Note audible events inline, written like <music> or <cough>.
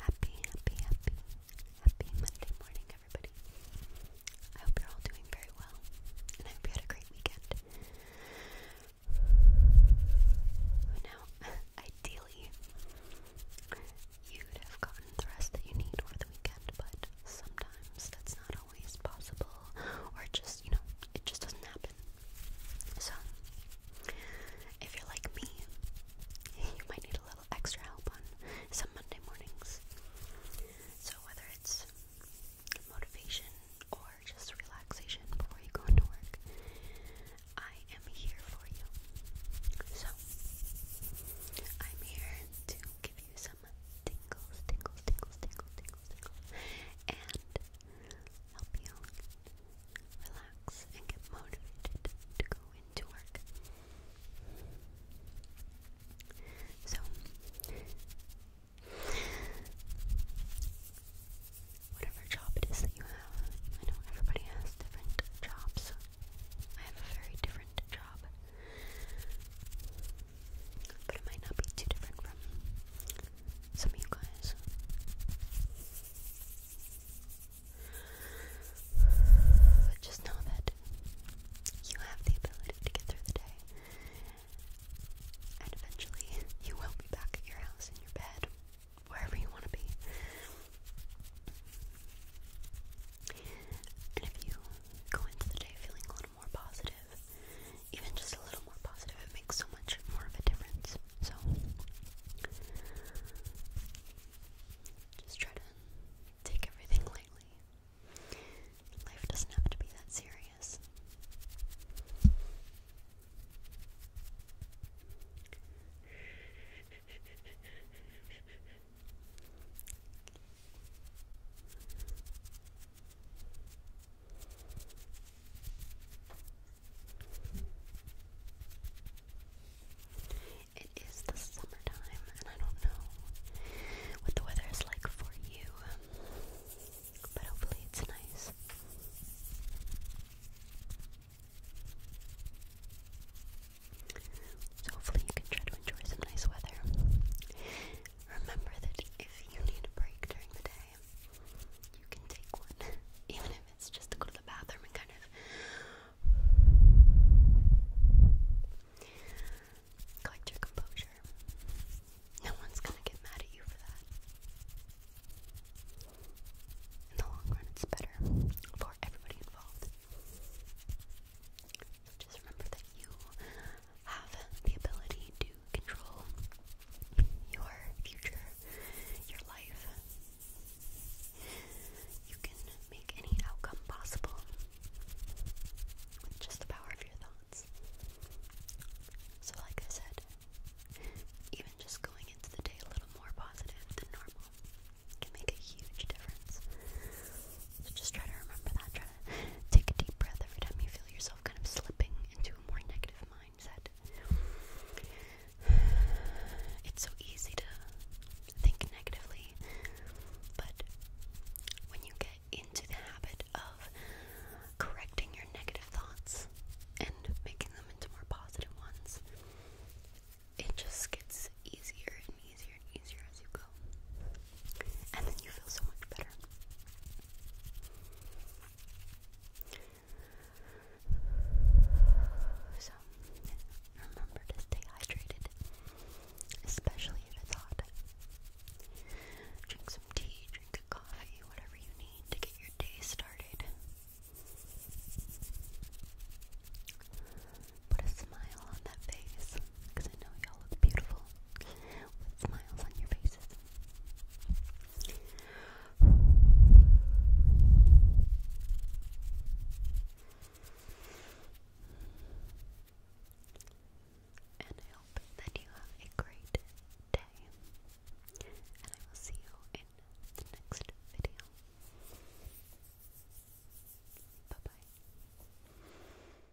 Happy, happy, happy, happy Monday morning, everybody. I hope you're all doing very well, and I hope you had a great weekend. Now, <laughs> ideally, you'd have gotten the rest that you need over the weekend, but sometimes that's not possible, or just, you know, it just doesn't happen. So, if you're like me, you might need a little extra help on some Monday mornings. So, whether it's motivation or just relaxation before you go into work, I am here for you. So, I'm here to give you some tingles, tingles, tingles, tingles, tingles, and help you relax and get motivated to go into work. So, whatever job it is that you have, I know everybody has different jobs. I have a very different job but it might not be too different from some of you guys. Just know that you have the ability to get through the day, and eventually <laughs> you will be back at your house in your bed, wherever you want to be. And if you go into the day feeling a more positive. Even just a little more positive, it makes so much more of a difference. So, just try to take everything lightly. Life doesn't have to be that serious. It is the summertime, and I don't know what the weather is like for you, but hopefully it's nice. So hopefully you can try to enjoy some nice weather. Remember that if you need a break during the day, you can take one, <laughs> even if it's just to go to the bathroom and kind of collect your composure. No one's gonna get mad at you for that. In the long run, it's better for everybody involved. just remember that you have the ability to control your future, your life. You can make any outcome possible with just the power of your thoughts. So, like I said, even just going into the day a little more positive than normal can make a huge difference. So, just try to remember that. Take a deep breath every time you feel yourself kind of slipping into a more negative mindset. <sighs> It's so easy to think negatively, but when you get into the habit of correcting your negative thoughts and making them into more positive ones, it just gets easier and easier and easier as you go. And then you feel so much better. So, remember to stay hydrated, especially if it's hot. Drink some tea, drink a coffee, whatever you need to get your day started. Put a smile on that face because I know y'all look beautiful with smiles on your faces. And I hope that you have a great day. And I will see you in the next video. Bye bye.